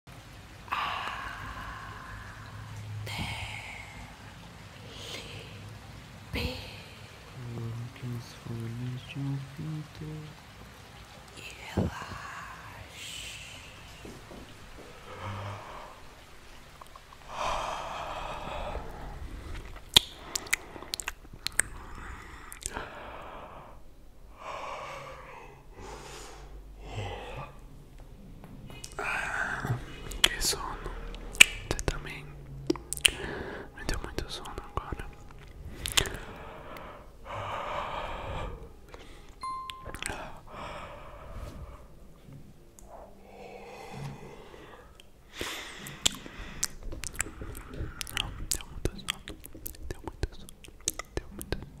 A folhas de um pintor e relaxe. Ah, que sono. Você também me deu muito sono agora. Não, deu muito sono. Deu muito sono. Deu muito sono.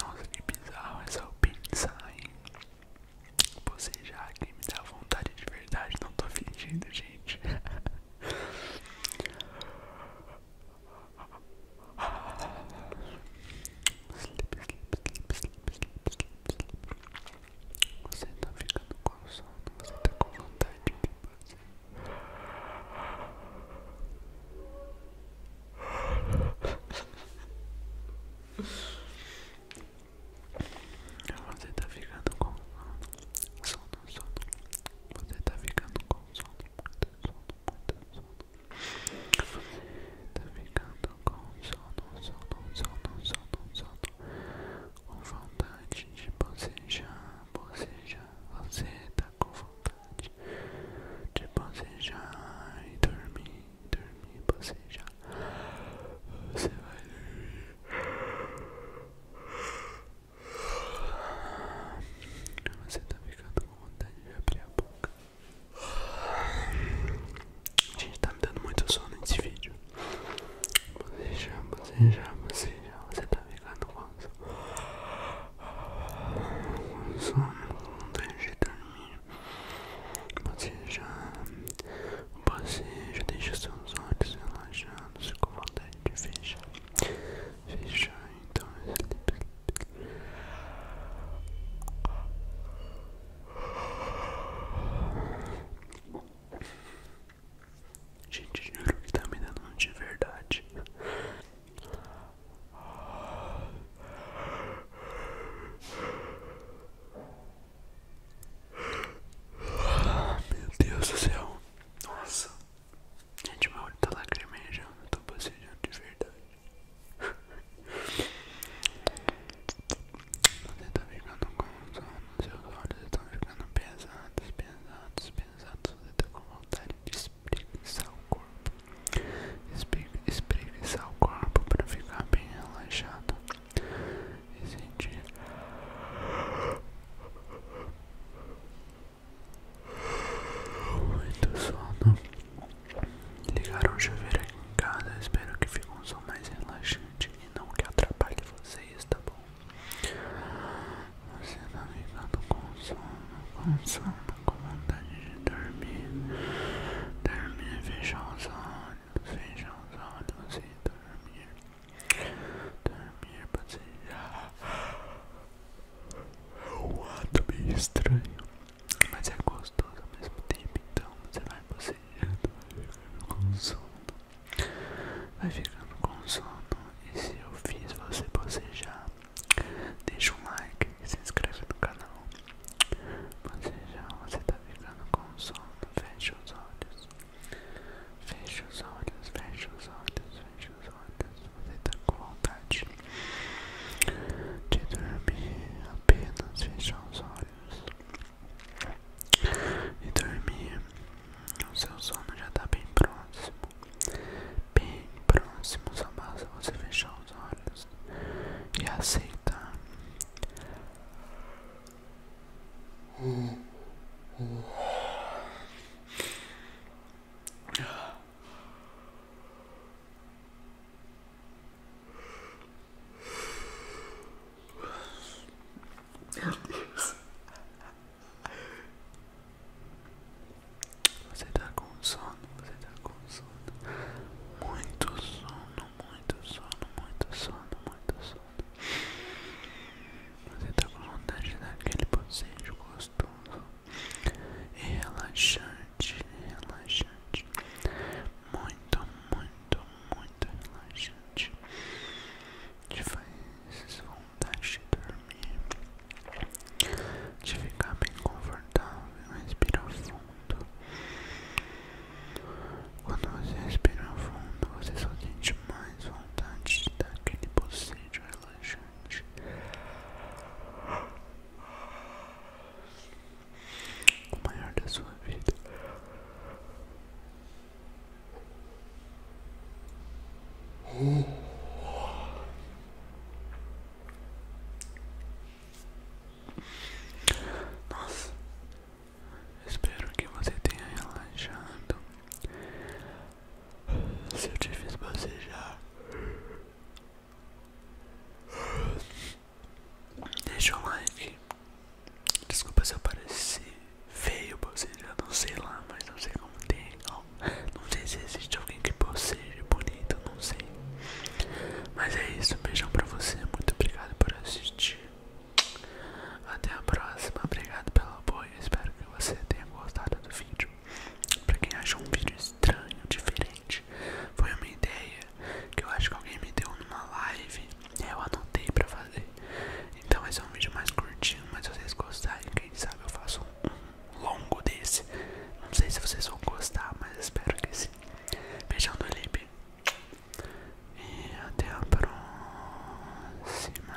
Nossa, que bizarro é só pensar em você já que me dá vontade de verdade, não tô fingindo, gente. Sleep, sleep, sleep, sleep, sleep, sleep. Você tá ficando com sono, você tá com vontade de fazer. Você está ficando com sono, sono, sono. Você está ficando com sono, muito sono, muito sono. Você tá ficando com sono, sono, sono, sono, sono. Com vontade de bocejar, bocejar. Você tá com vontade vontade de bocejar e dormir, dormir, bocejar. Você vai dormir. Você tá ficando com vontade de abrir a boca. Gente, tá me dando muito sono nesse vídeo. Você já, você já, você já, você tá ficando com sono. Com sono, não tem de dormir. Você já, você já deixa seus olhos relaxados com vontade de fechar. Fechar então esse Gente, juro que tá me dando de verdade. Meu Deus do céu. Nossa. Gente, meu olho tá lacrimejando. Eu tô bocejando de verdade. Você tá ficando com os seus olhos estão ficando pesados, pesados, pesados. Você tá com vontade de espreguiçar o corpo espreguiçar o corpo para ficar bem relaxado e sentir muito sono. Ligaram o chuveiro aqui em casa, espero que fique um som mais relaxante e não que atrapalhe vocês, tá bom? Você tá ficando com sono, com sono, com vontade de dormir, dormir, fechar os olhos, fechar os olhos e dormir, dormir, passear. É um ato meio estranho, mas é gostoso ao mesmo tempo, então você vai passeando, vai ficando com sono, vai ficando com sono, e se eu fiz você passejar, deixa um like, e se inscreve no canal. Você já você tá ficando com sono. Feche os olhos. Feche os olhos, feche os olhos, feche os olhos. Você tá com vontade de dormir. Apenas fechar os olhos e dormir. O seu sono já tá bem próximo. Bem próximo, só basta você fechar os olhos, e aceita Meu Deus. Você tá com sono, você tá com sono. Muito sono, muito sono, muito sono, muito sono. Você está com vontade de dar aquele bocejo gostoso e relaxante, relaxante. Muito, muito, muito relaxante. Te faz vontade de dormir. De ficar bem confortável, respirar fundo. Quando você respira fundo, você só sente mais vontade de dar aquele bocejo relaxante. O maior da sua vida. Nossa, espero que você tenha relaxado. Se eu te fiz bocejar, deixa o like. Desculpa se eu parecer feio bocejar, não sei lá, mas não sei como tem. Não, não sei se existe alguém que boceje bonito, não sei. Mas é isso, beijão pra você. Muito obrigado por assistir. Até a próxima. Obrigado pelo apoio. Espero que você tenha gostado do vídeo. Pra quem achou um vídeo estranho, diferente, foi uma ideia que eu acho que alguém me deu numa live. Eu anotei pra fazer. Então esse é um vídeo mais curtinho, mas se vocês gostarem, quem sabe eu faço um longo desse. Não sei se vocês vão gostar, mas espero que sim. Beijão do Lipe. E até a próxima.